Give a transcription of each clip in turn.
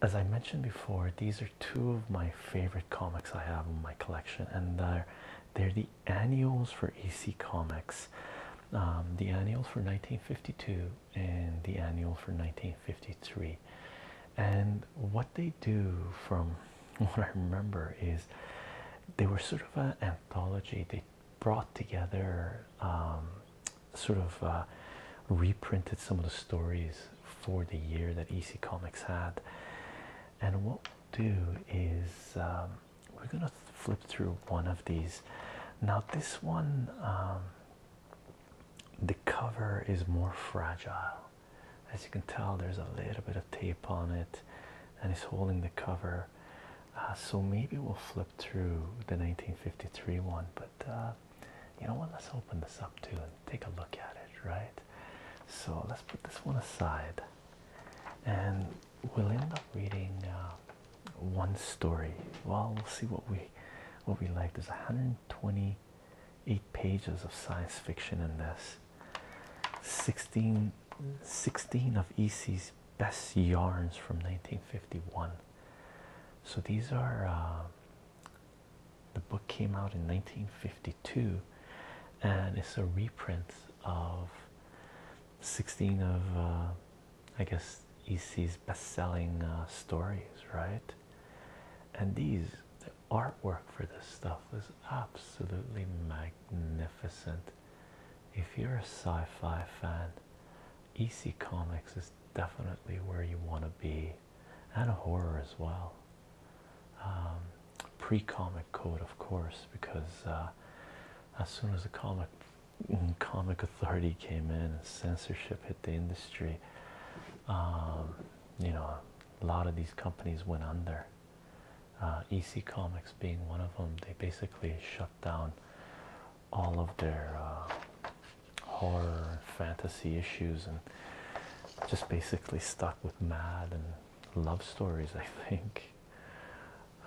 As I mentioned before, these are two of my favorite comics I have in my collection, and they're, they're the annuals for EC Comics. Um, the annual for 1952 and the annual for 1953. And what they do, from what I remember, is they were sort of an anthology. They brought together um, sort of uh, reprinted some of the stories for the year that EC Comics had. And what we'll do is um, we're gonna flip through one of these. Now this one, um, the cover is more fragile. As you can tell, there's a little bit of tape on it, and it's holding the cover. Uh, so maybe we'll flip through the 1953 one, but uh, you know what? Let's open this up too and take a look at it, right? So let's put this one aside, and we'll end up reading uh, one story. Well, we'll see what we what we like. There's 128 pages of science fiction in this. 16, 16 of EC's best yarns from 1951 so these are uh, the book came out in 1952, and it's a reprint of 16 of uh, I guess EC's best-selling uh, stories, right? And these the artwork for this stuff is absolutely magnificent. If you're a sci-fi fan, EC Comics is definitely where you want to be, and horror as well. Um, Pre comic code, of course, because uh, as soon as the comic comic authority came in and censorship hit the industry, um, you know, a lot of these companies went under. Uh, EC Comics being one of them, they basically shut down all of their uh, horror and fantasy issues and just basically stuck with mad and love stories I think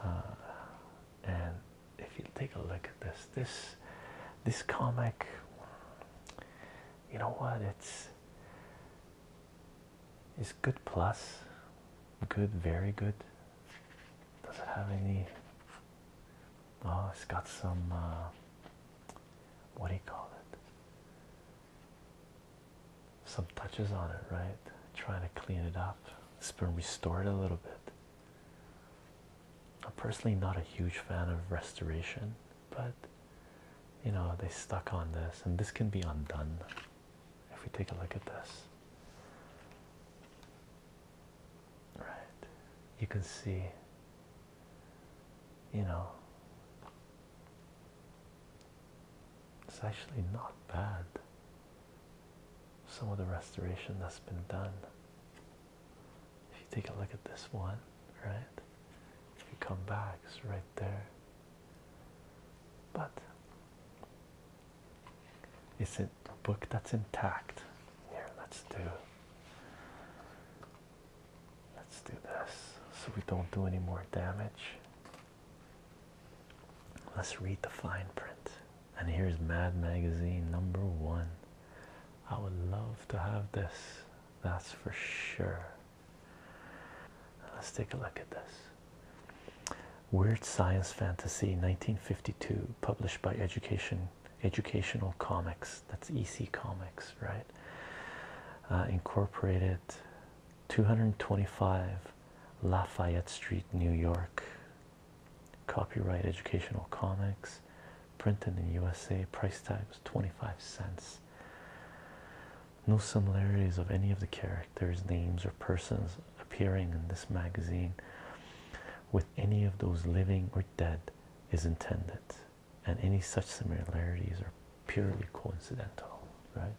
uh, and if you take a look at this this this comic you know what it's it's good plus good very good does it have any Oh, it's got some uh, what do you call it? Some touches on it, right? Trying to clean it up. It's been restored a little bit. I'm personally not a huge fan of restoration, but you know, they stuck on this, and this can be undone if we take a look at this right you can see you know it's actually not bad some of the restoration that's been done if you take a look at this one right if you come back it's right there but it's a book that's intact here let's do let's do this so we don't do any more damage let's read the fine print and here's mad magazine number one i would love to have this that's for sure let's take a look at this weird science fantasy 1952 published by education educational comics that's EC Comics, right? Uh, incorporated 225 Lafayette Street, New York. Copyright Educational Comics, printed in USA, price tags 25 cents. No similarities of any of the characters, names, or persons appearing in this magazine with any of those living or dead is intended, and any such similarities are purely coincidental, right?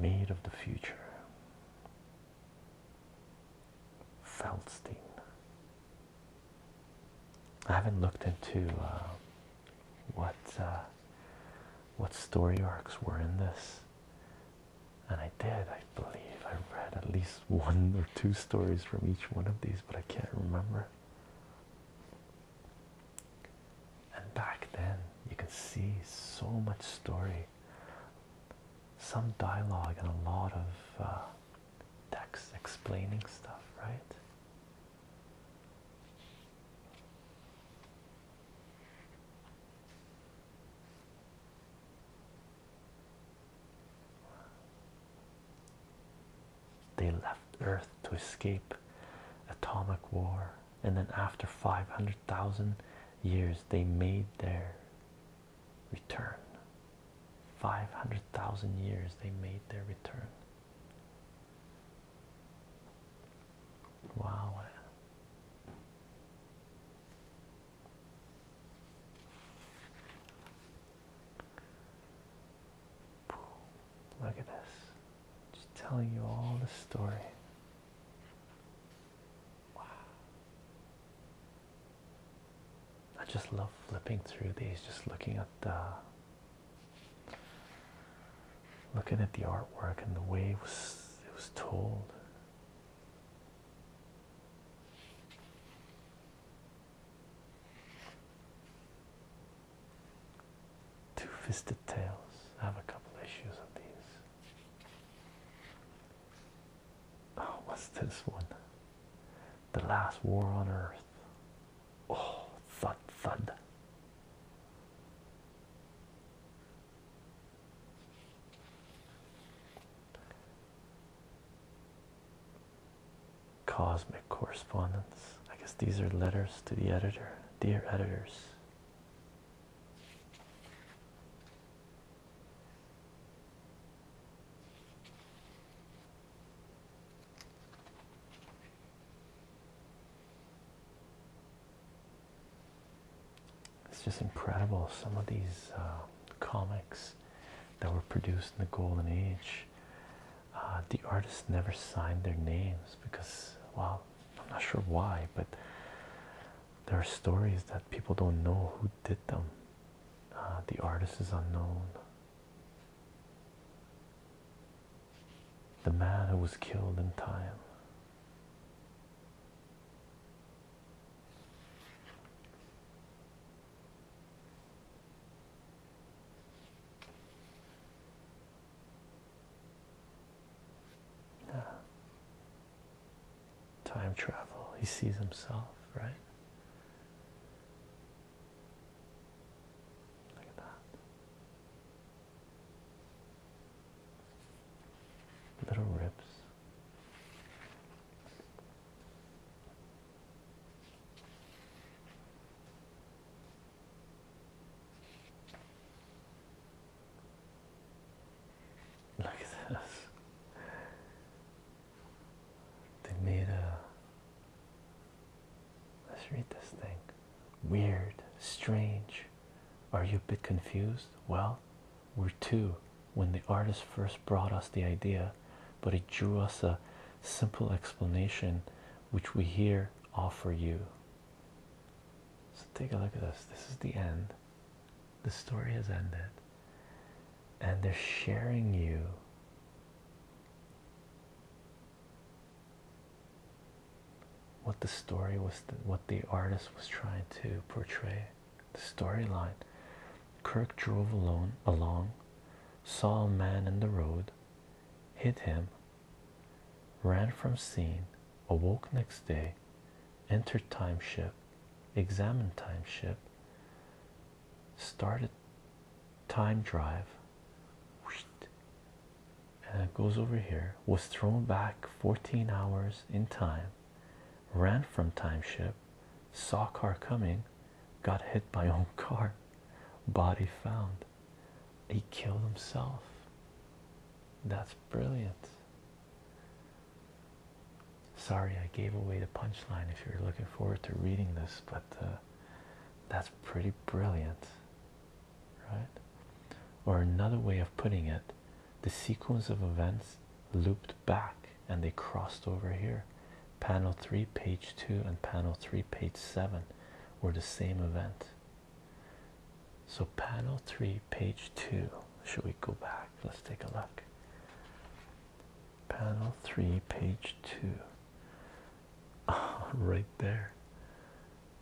Made of the future. Feldstein. I haven't looked into uh, what uh, what story arcs were in this. And I did, I believe I read at least one or two stories from each one of these, but I can't remember. And back then, you can see so much story, some dialogue, and a lot of uh, text explaining stuff, right? They left Earth to escape atomic war, and then after 500,000 years, they made their return. 500,000 years, they made their return. Wow. Look at this. Just telling you all the story. I just love flipping through these, just looking at the looking at the artwork and the way it was it was told Two fisted tales. I have a couple issues of these. Oh, what's this one? The last war on earth. Oh, thud, thud. Cosmic correspondence. I guess these are letters to the editor. Dear editors. It's just incredible some of these uh, comics that were produced in the golden age. Uh, the artists never signed their names because, well, I'm not sure why, but there are stories that people don't know who did them. Uh, the artist is unknown. The man who was killed in time. Yeah. Time travel. He sees himself, right? Look at that. Little rips. Look at this. They made a. Let's read this thing. Weird, strange, are you a bit confused? Well, we're two when the artist first brought us the idea, but it drew us a simple explanation which we here offer you. So take a look at this. This is the end. The story has ended. And they're sharing you what the story was, what the artist was trying to portray, the storyline. Kirk drove alone along, saw a man in the road, hit him, ran from scene, awoke next day, entered time ship, examined time ship, started time drive, and uh, it goes over here, was thrown back 14 hours in time, ran from time ship, saw car coming, got hit by own car, body found. He killed himself. That's brilliant. Sorry, I gave away the punchline if you're looking forward to reading this, but uh, that's pretty brilliant right? Or another way of putting it, the sequence of events looped back and they crossed over here. Panel 3, page 2, and panel 3, page 7 were the same event. So, panel 3, page 2. Should we go back? Let's take a look. Panel 3, page 2. Oh, right there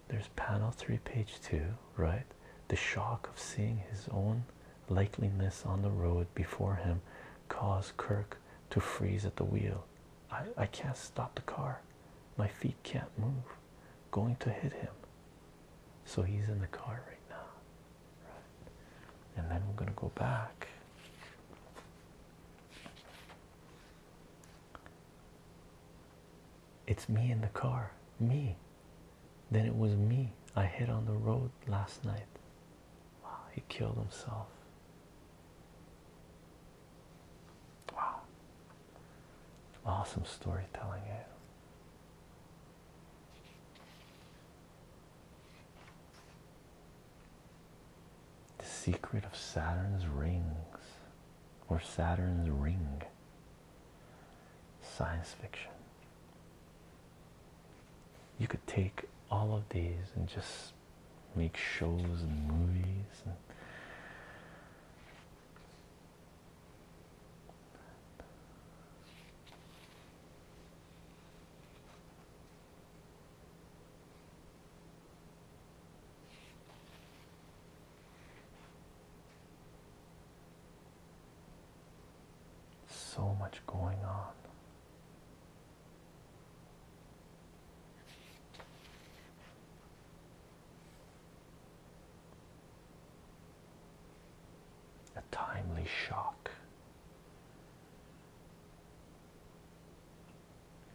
there's panel 3 page 2 right the shock of seeing his own likeliness on the road before him caused kirk to freeze at the wheel i i can't stop the car my feet can't move going to hit him so he's in the car right now right? and then we're going to go back it's me in the car me then it was me I hit on the road last night. Wow, he killed himself. Wow. Awesome storytelling, eh? The secret of Saturn's rings, or Saturn's ring, science fiction. You could take all of these and just make shows and movies. So much going on. A timely shock.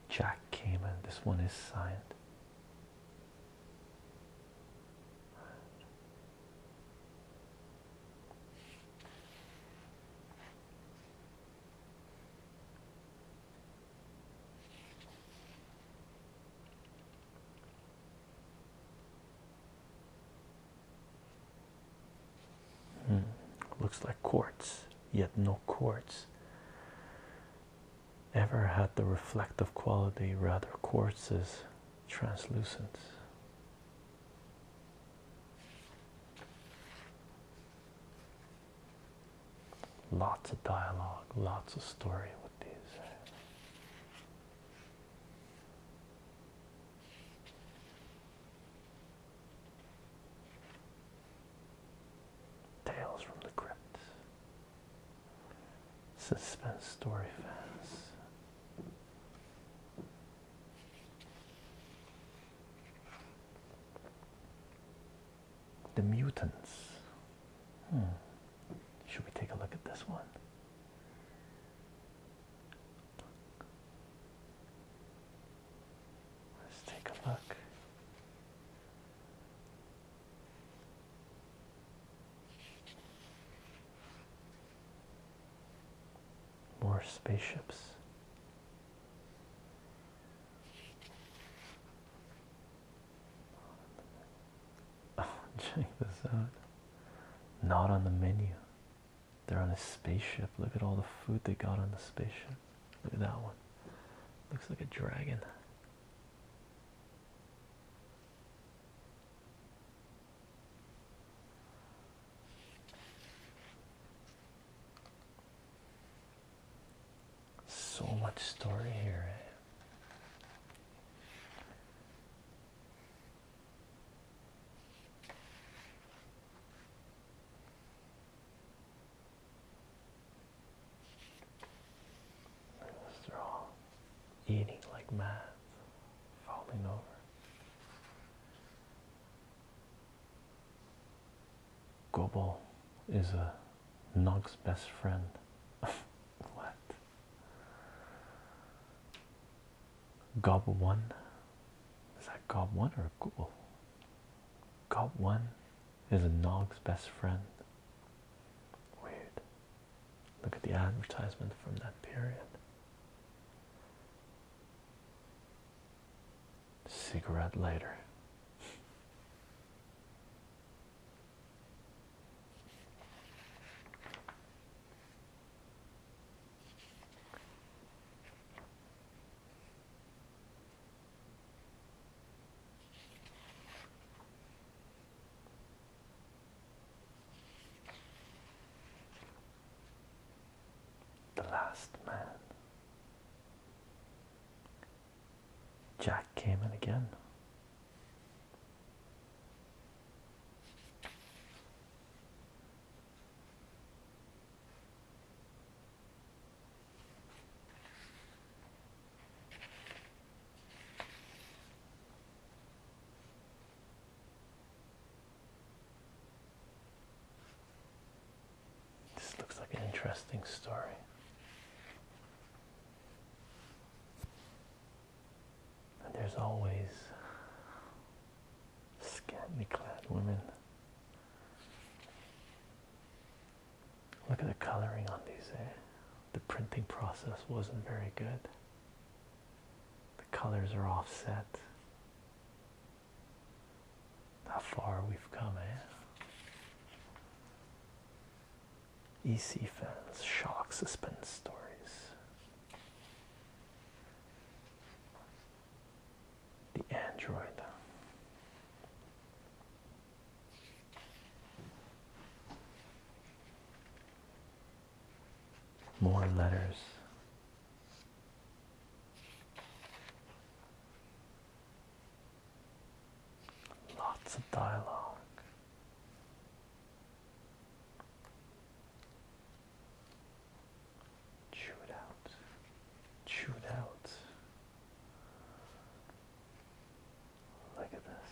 Jack Kamen, this one is signed. Hmm. Looks like quartz, yet no quartz ever had the reflective quality, rather, quartz is translucent. Lots of dialogue, lots of story with these. Tales from the Crypt. Suspense story fans. The mutants. Hmm. Should we take a look at this one? Let's take a look. More spaceships. check this out. Not on the menu. They're on a spaceship. Look at all the food they got on the spaceship. Look at that one. Looks like a dragon. So much story here. Eh? they eating like mad, falling over. Gobble is a Nog's best friend. what? Gob one? Is that Gob one or Gobble? Gob one is a Nog's best friend. Weird. Look at the advertisement from that period. Cigarette lighter. The Last Man. Jack came in again. This looks like an interesting story. And there's always scantily clad women. Look at the coloring on these, eh? the printing process wasn't very good. The colors are offset. How far we've come, eh? EC fans, shock, suspense stories. The Android. More letters. Lots of dialogue. Chew it out. Chew it out. Look at this.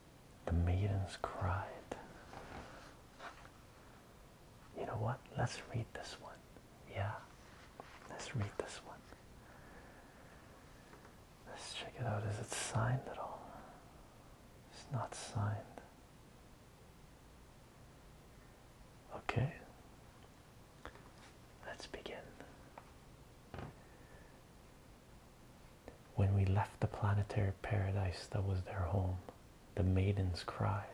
The maidens cried. You know what? Let's read this one. Yeah, let's read this one. Let's check it out. Is it signed at all? It's not signed. Okay, let's begin. When we left the planetary paradise that was their home, the maidens cried.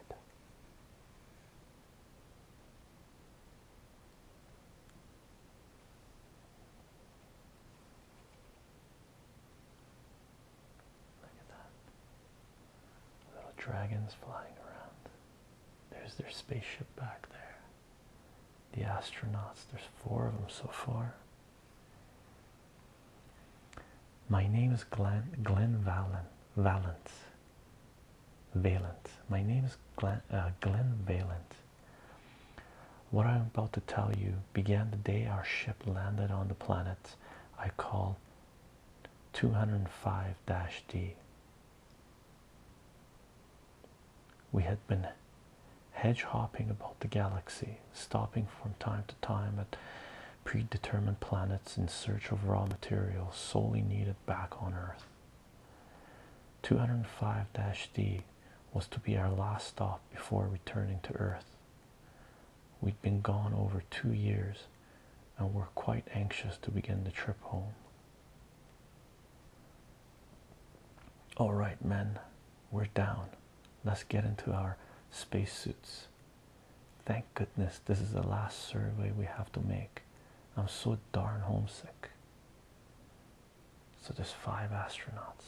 Look at that. Little dragons flying around. There's their spaceship back there. The astronauts, there's four of them so far. My name is Glenn, Glenn Valen, Valent. My name is Glenn, uh, Valent. What I'm about to tell you began the day our ship landed on the planet I call 205-D. We had been hedgehopping about the galaxy stopping from time to time at predetermined planets in search of raw materials solely needed back on Earth. 205-D was to be our last stop before returning to Earth. We'd been gone over two years and were quite anxious to begin the trip home. All right, men, we're down. Let's get into our spacesuits. Thank goodness this is the last survey we have to make. I'm so darn homesick. So there's five astronauts.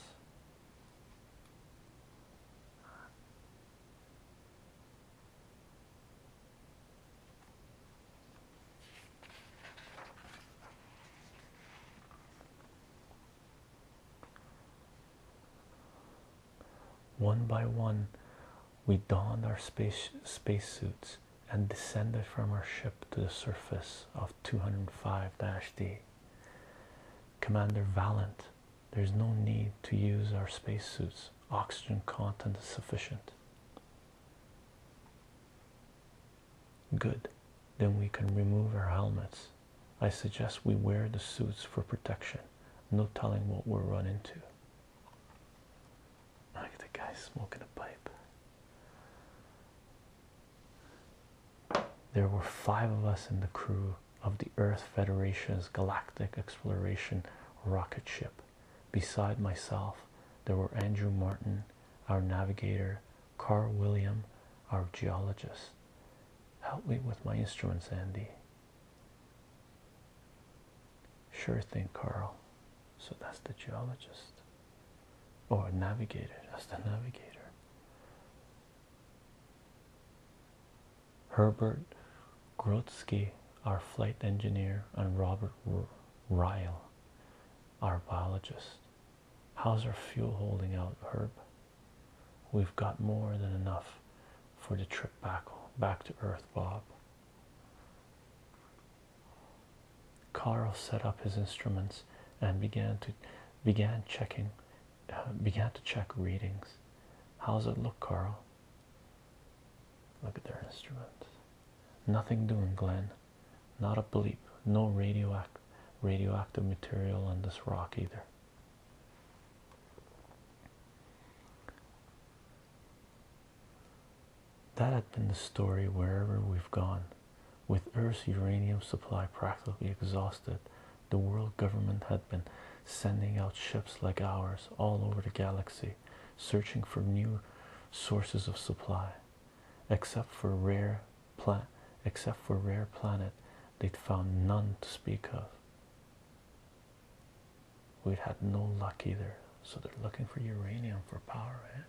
One by one, we donned our space suits and descended from our ship to the surface of 205-D. Commander Valent, there's no need to use our space suits. Oxygen content is sufficient. Good. Then we can remove our helmets. I suggest we wear the suits for protection. No telling what we're run into. I get the guy smoking a pipe. There were five of us in the crew of the Earth Federation's Galactic Exploration rocket ship. Beside myself, there were Andrew Martin, our navigator, Carl William, our geologist, Help me with my instruments, Andy. Sure thing, Carl. So that's the geologist. Or navigator. That's the navigator. Herbert Grotsky, our flight engineer, and Robert Ryle, our biologist. How's our fuel holding out, Herb? We've got more than enough for the trip back back to Earth, Bob. Carl set up his instruments and began to began checking uh, began to check readings. How's it look, Carl? Look at their instruments. Nothing doing, Glenn. Not a bleep. No radioact radioactive material on this rock either. That had been the story wherever we've gone. With Earth's uranium supply practically exhausted, the world government had been sending out ships like ours all over the galaxy, searching for new sources of supply. Except for rare plant except for rare planet they'd found none to speak of we'd had no luck either so they're looking for uranium for power eh?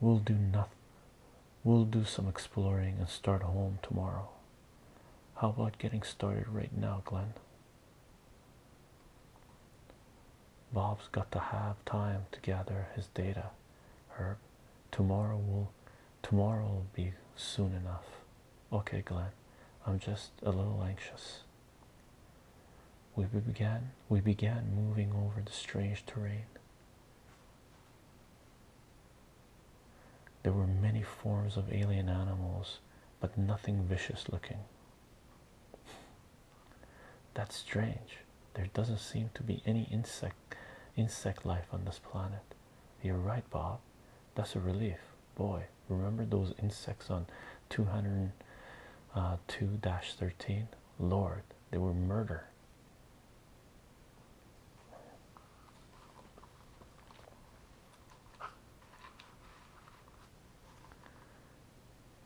we'll do nothing we'll do some exploring and start home tomorrow how about getting started right now glenn bob's got to have time to gather his data herb tomorrow will tomorrow will be soon enough okay Glenn I'm just a little anxious we began we began moving over the strange terrain there were many forms of alien animals but nothing vicious looking that's strange there doesn't seem to be any insect insect life on this planet. You're right, Bob. That's a relief. Boy, remember those insects on 202-13? Uh, Lord, they were murder.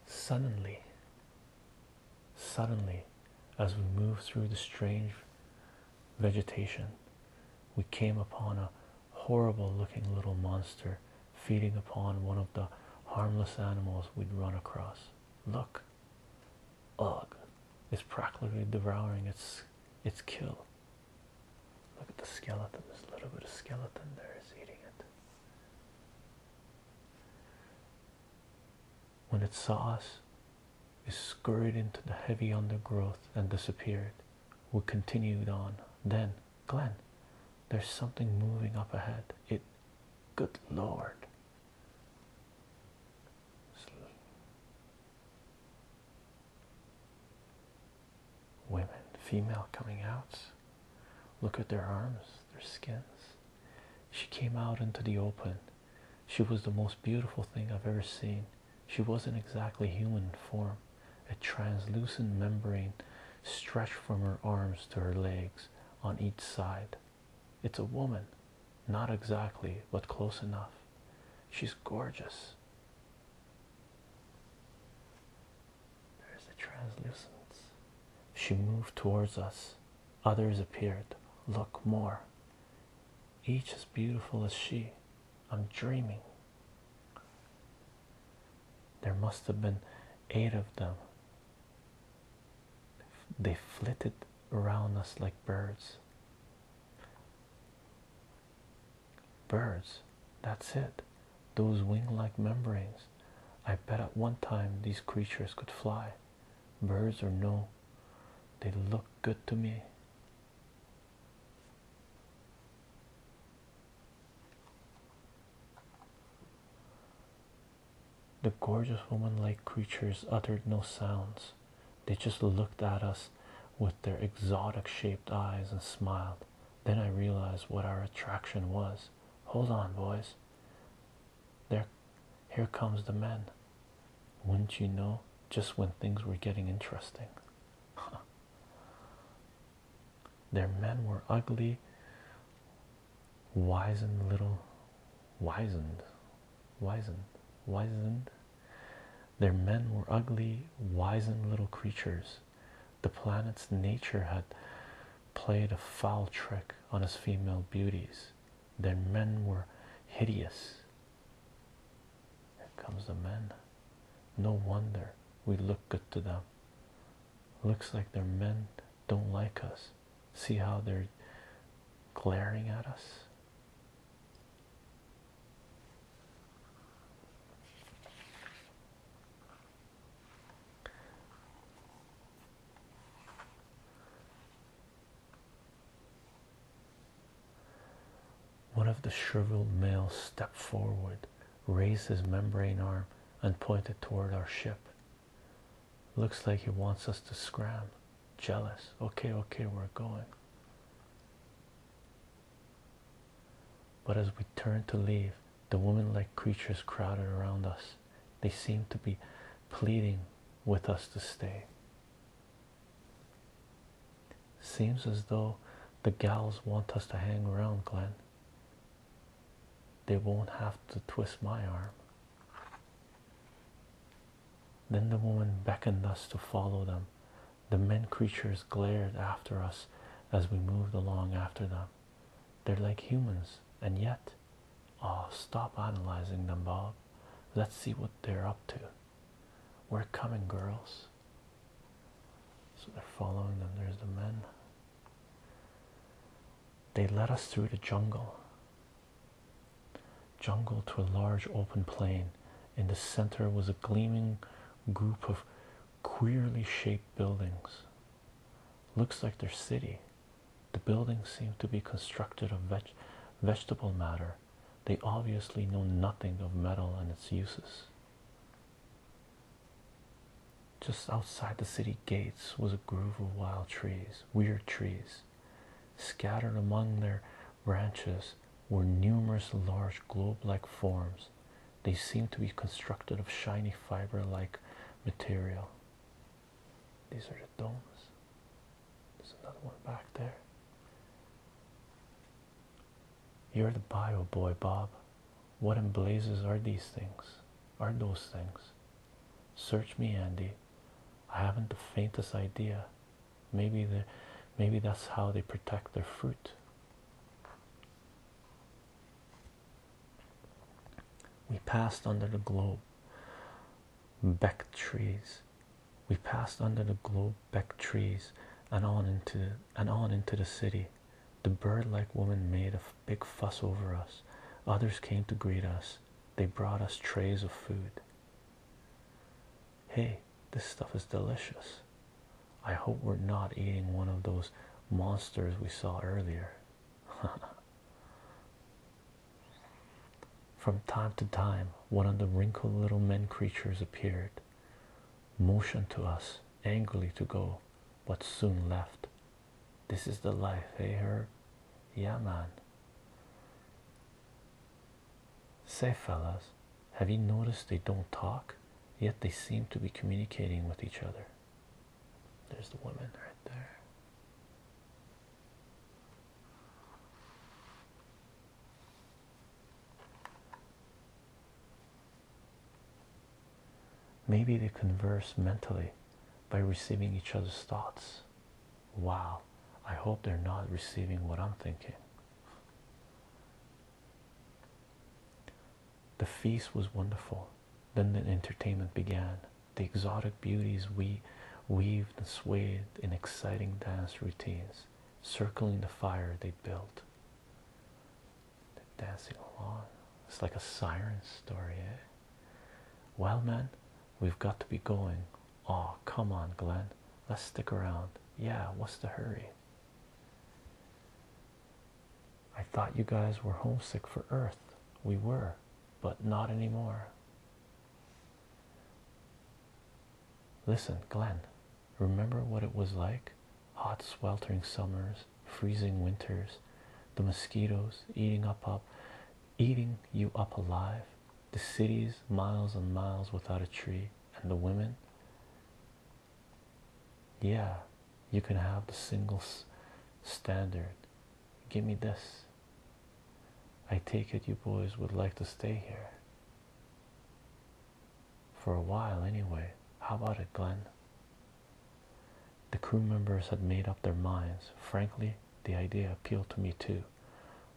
Suddenly, Suddenly, as we moved through the strange vegetation, we came upon a horrible looking little monster feeding upon one of the harmless animals we'd run across. Look, ugh, it's practically devouring its, its kill. Look at the skeleton, There's a little bit of skeleton there is eating it. When it saw us, it scurried into the heavy undergrowth and disappeared. We continued on. Then, Glen, there's something moving up ahead. It, good lord. Women, female coming out. Look at their arms their skins. She came out into the open. She was the most beautiful thing I've ever seen. She wasn't exactly human form. A translucent membrane stretched from her arms to her legs on each side. It's a woman, not exactly, but close enough. She's gorgeous. There's the translucence. She moved towards us. Others appeared. Look more. Each as beautiful as she. I'm dreaming. There must have been eight of them. They flitted around us like birds. Birds, that's it. Those wing like membranes. I bet at one time these creatures could fly birds or no they look good to me the gorgeous woman-like creatures uttered no sounds they just looked at us with their exotic shaped eyes and smiled then i realized what our attraction was hold on boys there, here comes the men. Wouldn't you know, just when things were getting interesting. Their men were ugly, wizened little, wizened, wizened, wizened. Their men were ugly, wizened little creatures. The planet's nature had played a foul trick on its female beauties. Their men were hideous. Here comes the men. No wonder we look good to them. Looks like their men don't like us. See how they're glaring at us. One of the shriveled males stepped forward, raised his membrane arm, and pointed toward our ship. Looks like he wants us to scram. Jealous. Okay, okay, we're going. But as we turned to leave, the woman like creatures crowded around us. They seem to be pleading with us to stay. Seems as though the gals want us to hang around, Glenn. They won't have to twist my arm. Then the woman beckoned us to follow them. The men creatures glared after us as we moved along after them. They're like humans, and yet Oh, stop analyzing them, Bob. Let's see what they're up to. We're coming, girls. So they're following them. There's the men. They led us through the jungle. Jungle to a large open plain. In the center was a gleaming group of queerly shaped buildings. Looks like their city, the buildings seem to be constructed of vegetable matter. They obviously know nothing of metal and its uses. Just outside the city gates was a grove of wild trees, weird trees. Scattered among their branches were numerous large globe like forms. They seemed to be constructed of shiny fiber like material. These are the domes. There's another one back there. You're the bio boy, Bob. What in blazes are these things? Are those things? Search me, Andy. I haven't the faintest idea. Maybe the, maybe that's how they protect their fruit. We passed under the globe beck trees. We passed under the globe beck trees and on into and on into the city. The bird-like woman made a big fuss over us. Others came to greet us. They brought us trays of food. Hey, this stuff is delicious. I hope we're not eating one of those monsters we saw earlier. From time to time, one of the wrinkled little men creatures appeared, motioned to us angrily to go, but soon left. This is the life, hey, eh, her? Yeah, man. Say, fellas, have you noticed they don't talk, yet they seem to be communicating with each other? There's the woman right there. Maybe they converse mentally by receiving each other's thoughts. Wow, I hope they're not receiving what I'm thinking. The feast was wonderful. Then the entertainment began the exotic beauties we weaved and swayed in exciting dance routines, circling the fire they built. They're dancing along. It's like a siren story, eh? Well, man, we've got to be going. Oh, come on, Glenn. Let's stick around. Yeah, what's the hurry? I thought you guys were homesick for Earth. We were but not anymore. Listen, Glenn, remember what it was like? Hot, sweltering summers, freezing winters, the mosquitoes eating up up eating you up alive, the cities miles and miles without a tree, and the women. Yeah, you can have the single standard. Give me this. I take it you boys would like to stay here. For a while, anyway. How about it, Glenn? The crew members had made up their minds. Frankly, the idea appealed to me too.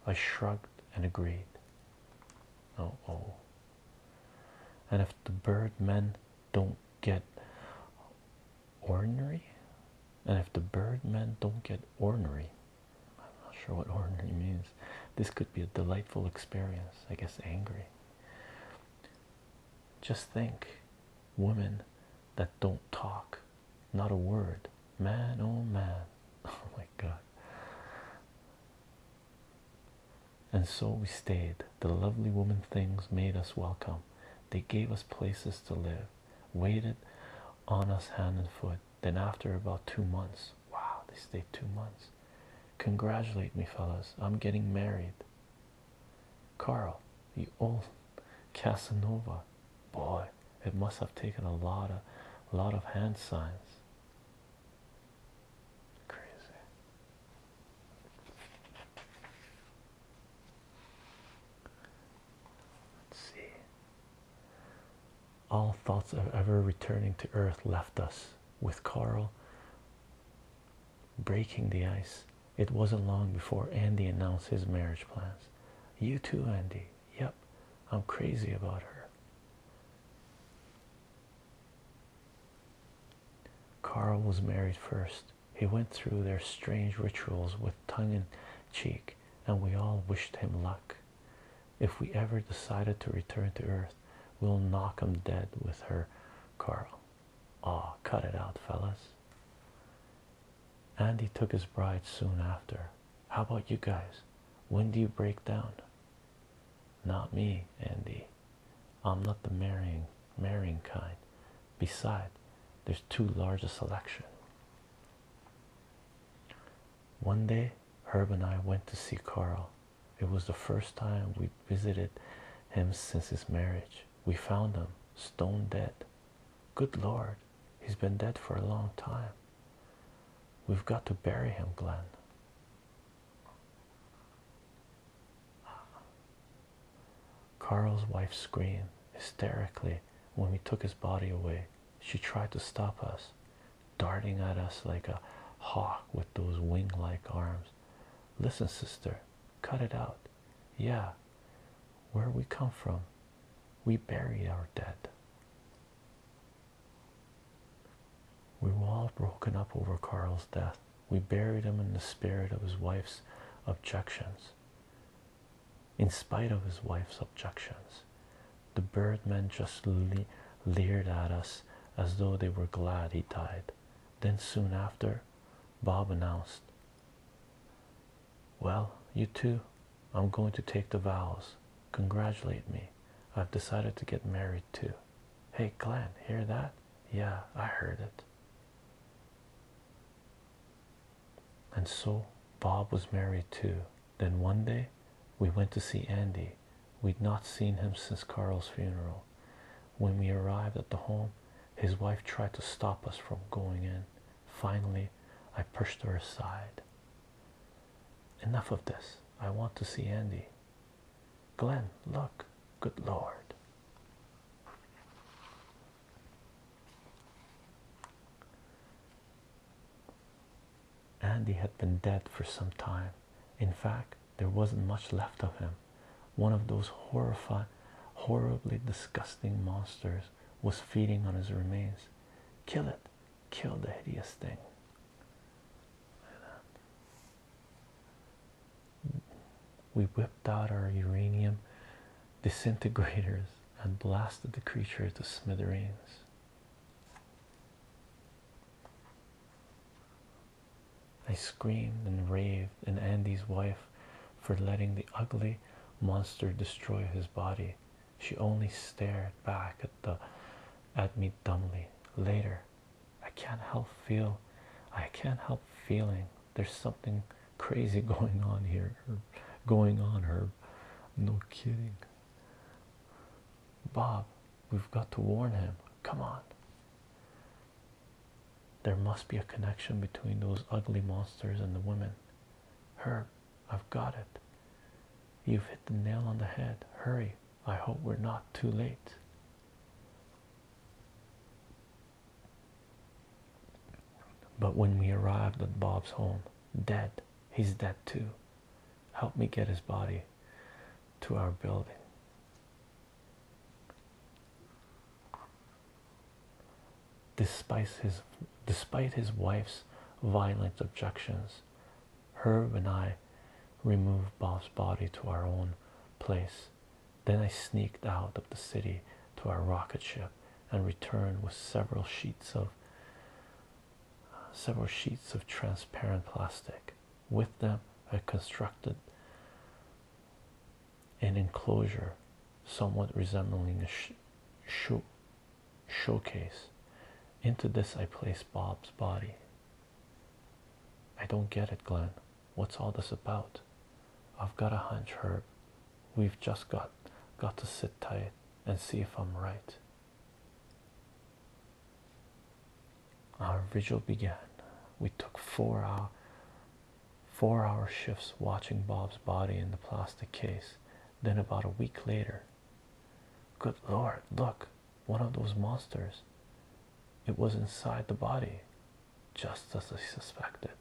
I shrugged and agreed. Oh, oh. And if the bird men don't get ordinary and if the birdmen don't get ordinary i'm not sure what ordinary means this could be a delightful experience i guess angry just think women that don't talk not a word man oh man oh my god and so we stayed the lovely woman things made us welcome they gave us places to live waited on us hand and foot. Then, after about two months, wow, they stayed two months. Congratulate me, fellas. I'm getting married. Carl, you old Casanova. Boy, it must have taken a lot of a lot of hand signs. Crazy. Let's see. All thoughts of ever returning to Earth left us with Carl breaking the ice. It wasn't long before Andy announced his marriage plans. You too, Andy. Yep, I'm crazy about her. Carl was married first. He went through their strange rituals with tongue in cheek, and we all wished him luck. If we ever decided to return to Earth, we'll knock him dead with her, Carl. Aw, cut it out, fellas. Andy took his bride soon after. How about you guys? When do you break down? Not me, Andy. I'm not the marrying marrying kind beside there's too large a selection one day herb and i went to see carl it was the first time we visited him since his marriage we found him stone dead good lord he's been dead for a long time we've got to bury him glenn Carl's wife screamed hysterically when we took his body away. She tried to stop us, darting at us like a hawk with those wing like arms. Listen, sister, cut it out. Yeah, where we come from, we bury our dead. We were all broken up over Carl's death. We buried him in the spirit of his wife's objections. In spite of his wife's objections, the birdmen just leered at us as though they were glad he died. Then, soon after, Bob announced, Well, you two, I'm going to take the vows. Congratulate me. I've decided to get married too. Hey, Glen, hear that? Yeah, I heard it. And so Bob was married too. Then one day we went to see Andy. We'd not seen him since Carl's funeral. When we arrived at the home, his wife tried to stop us from going in. Finally, I pushed her aside. Enough of this. I want to see Andy. Glenn, look. Good lord. Andy had been dead for some time. In fact, there wasn't much left of him. One of those horrifying, horribly disgusting monsters was feeding on his remains. Kill it, kill the hideous thing. We whipped out our uranium disintegrators and blasted the creature to smithereens. I screamed and raved, at Andy's wife for letting the ugly monster destroy his body. She only stared back at the at me dumbly. Later, I can't help feel I can't help feeling there's something crazy going on here, Going on, Herb. No kidding. Bob, we've got to warn him. Come on. There must be a connection between those ugly monsters and the women. Herb, I've got it. You've hit the nail on the head. Hurry. I hope we're not too late. But when we arrived at Bob's home, dead, he's dead too. Help me get his body to our building. Despite his, despite his wife's violent objections, Herb and I removed Bob's body to our own place then I sneaked out of the city to our rocket ship and returned with several sheets of several sheets of transparent plastic. With them I constructed an enclosure somewhat resembling a showcase. Into this I placed Bob's body. I don't get it, Glenn. What's all this about? I've got a hunch, Herb. We've just got got to sit tight and see if I'm right. Our vigil began. We took four hour four hour shifts watching Bob's body in the plastic case. Then about a week later. Good lord, look, one of those monsters. It was inside the body just as I suspected.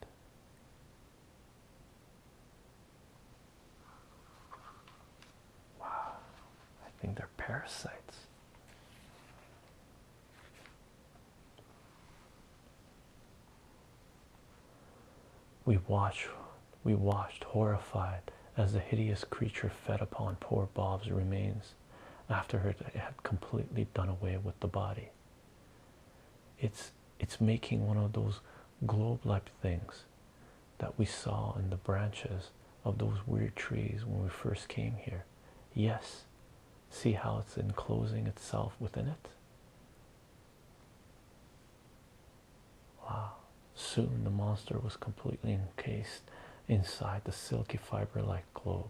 Wow, I think they're parasites. We watched, we watched horrified as the hideous creature fed upon poor Bob's remains after it had completely done away with the body. It's it's making one of those globe-like things that we saw in the branches of those weird trees when we first came here. Yes. See how it's enclosing itself within it? Wow. Soon the monster was completely encased inside the silky fiber like globe.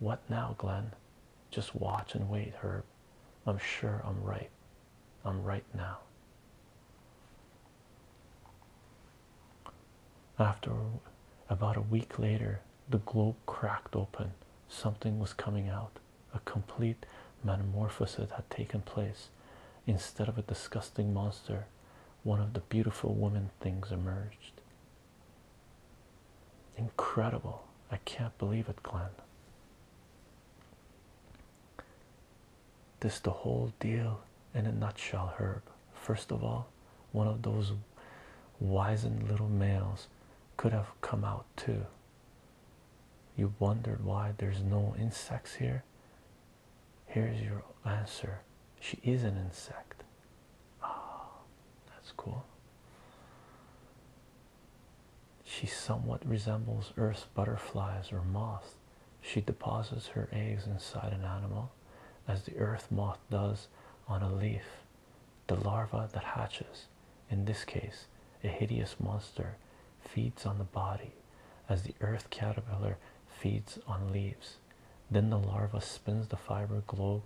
What now, Glenn? Just watch and wait, Herb. I'm sure I'm right. I'm right now. After about a week later, the globe cracked open. Something was coming out. A complete metamorphosis had taken place. Instead of a disgusting monster, one of the beautiful woman things emerged. Incredible. I can't believe it, Glenn. This the whole deal in a nutshell, Herb. First of all, one of those wizened little males could have come out too. You wondered why there's no insects here? Here's your answer. She is an insect. Oh, that's cool. She somewhat resembles Earth's butterflies or moths. She deposits her eggs inside an animal, as the earth moth does on a leaf. The larva that hatches, in this case a hideous monster, feeds on the body, as the earth caterpillar feeds on leaves. Then the larva spins the fiber globe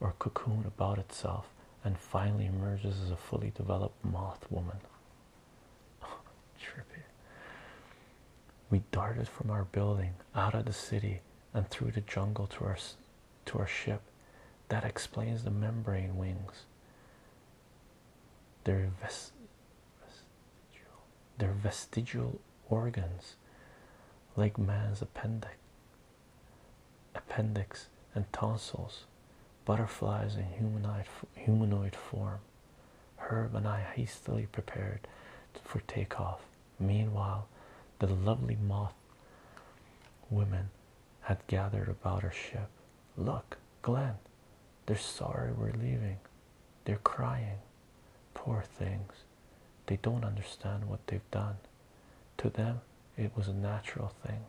or cocoon about itself and finally emerges as a fully developed moth woman. trippy. We darted from our building out of the city and through the jungle to our to our ship. That explains the membrane wings. Their vest vestigial, their vestigial organs, like man's appendix appendix and tonsils, butterflies in humanoid, humanoid form. Herb and I hastily prepared for takeoff. Meanwhile, the lovely moth women had gathered about our ship. Look, Glenn, they're sorry we're leaving. They're crying. Poor things. They don't understand what they've done. To them, it was a natural thing.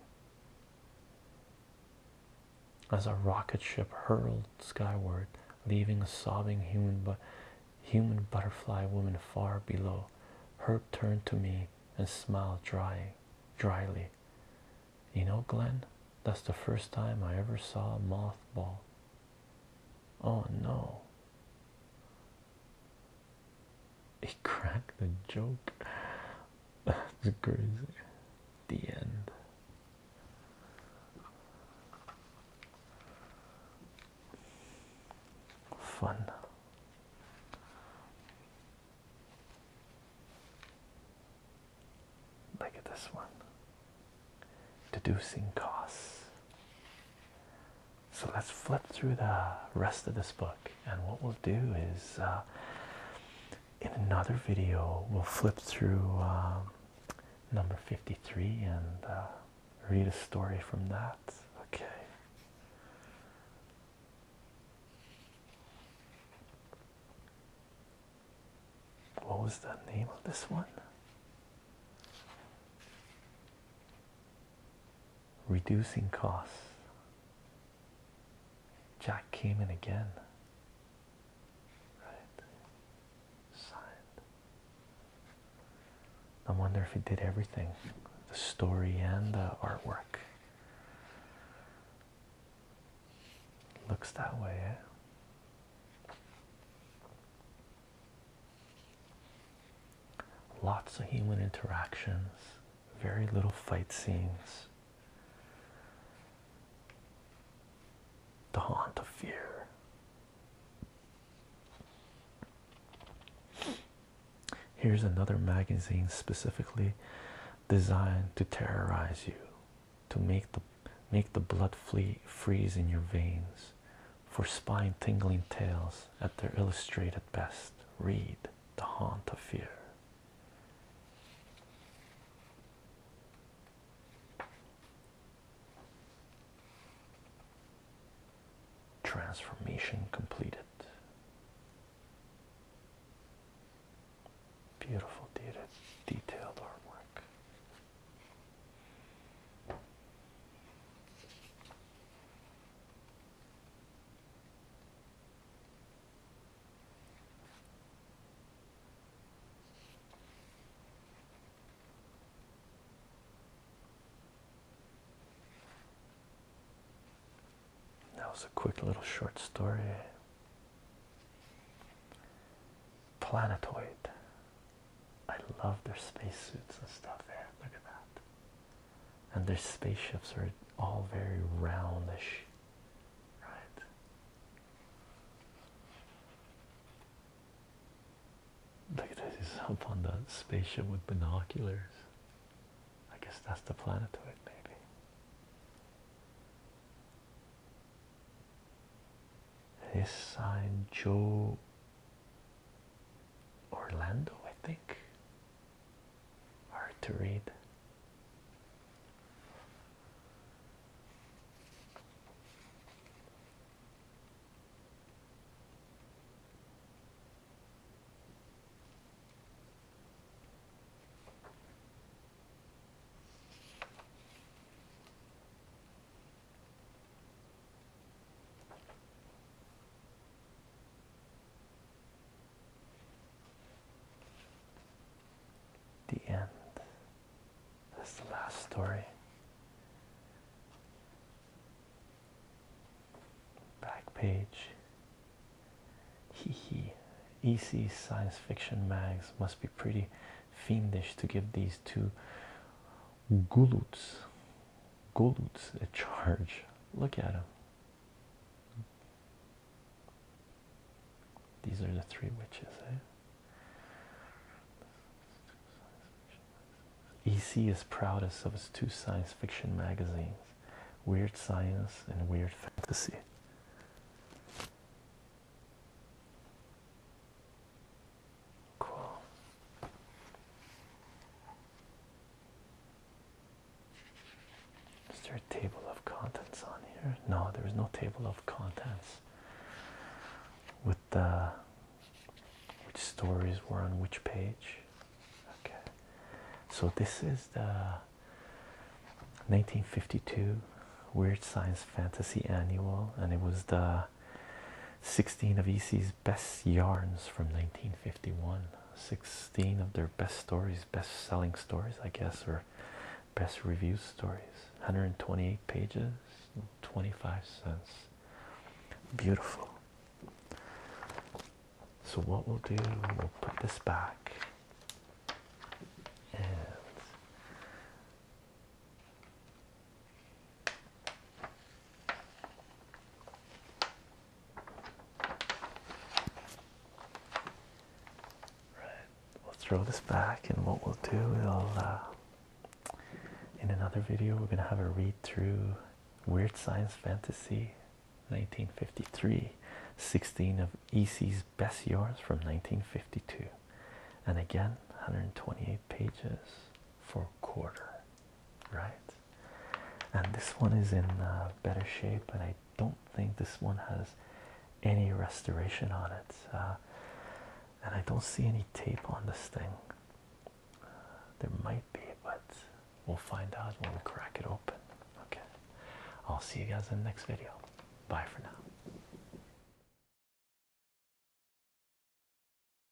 As a rocket ship hurled skyward, leaving a sobbing human, bu human butterfly woman far below, Herb turned to me and smiled dry, dryly. You know, Glenn, that's the first time I ever saw a mothball. Oh no. He cracked the joke. That's crazy. The end. Fun. Look at this one. Deducing costs. So let's flip through the rest of this book, and what we'll do is uh, in another video, we'll flip through um, number 53 and uh, read a story from that. Okay. What was the name of this one? reducing costs. Jack came in again. Right. Signed. I wonder if he did everything the story and the artwork. Looks that way, eh? Lots of human interactions, very little fight scenes. The haunt of fear. Here's another magazine specifically designed to terrorize you, to make the make the blood flee freeze in your veins, for spine tingling tales at their illustrated best. Read the haunt of fear. Transformation completed. Beautiful detailed artwork. That was a quick little short story. Planetoid. I love their spacesuits and stuff There, Look at that and their spaceships are all very roundish, right? Look at this, he's up on the spaceship with binoculars. I guess that's the planetoid, maybe. His sign Joe Orlando, I think hard to read. The end. That's the last story. Back page. Hee hee. EC science fiction mags must be pretty fiendish to give these two guluts, guluts a charge. Look at him. These are the three witches. EC eh? is proudest of his two science fiction magazines, Weird Science and Weird Fantasy. Cool. Is there a table of contents on here? No, there is no table of contents with the which stories were on which page. Okay, so this is the 1952 Weird Science Fantasy Annual, and it was the 16 of EC's best yarns from 1951. 16 of their best stories, best selling stories, I guess, or best review stories. 128 pages, 25 cents. Beautiful. So, what we'll do, we'll put this back and Right, we'll throw this back, and what we'll do, we uh, in another video, we're gonna have a read through Weird Science Fantasy 1953, 16 of EC's best years from 1952, and again, 128 pages for a quarter, right? and this one is in uh, better shape and I don't think this one has any restoration on it uh, and I don't see any tape on this thing there might be but we'll find out when we crack it open okay I'll see you guys in the next video bye for now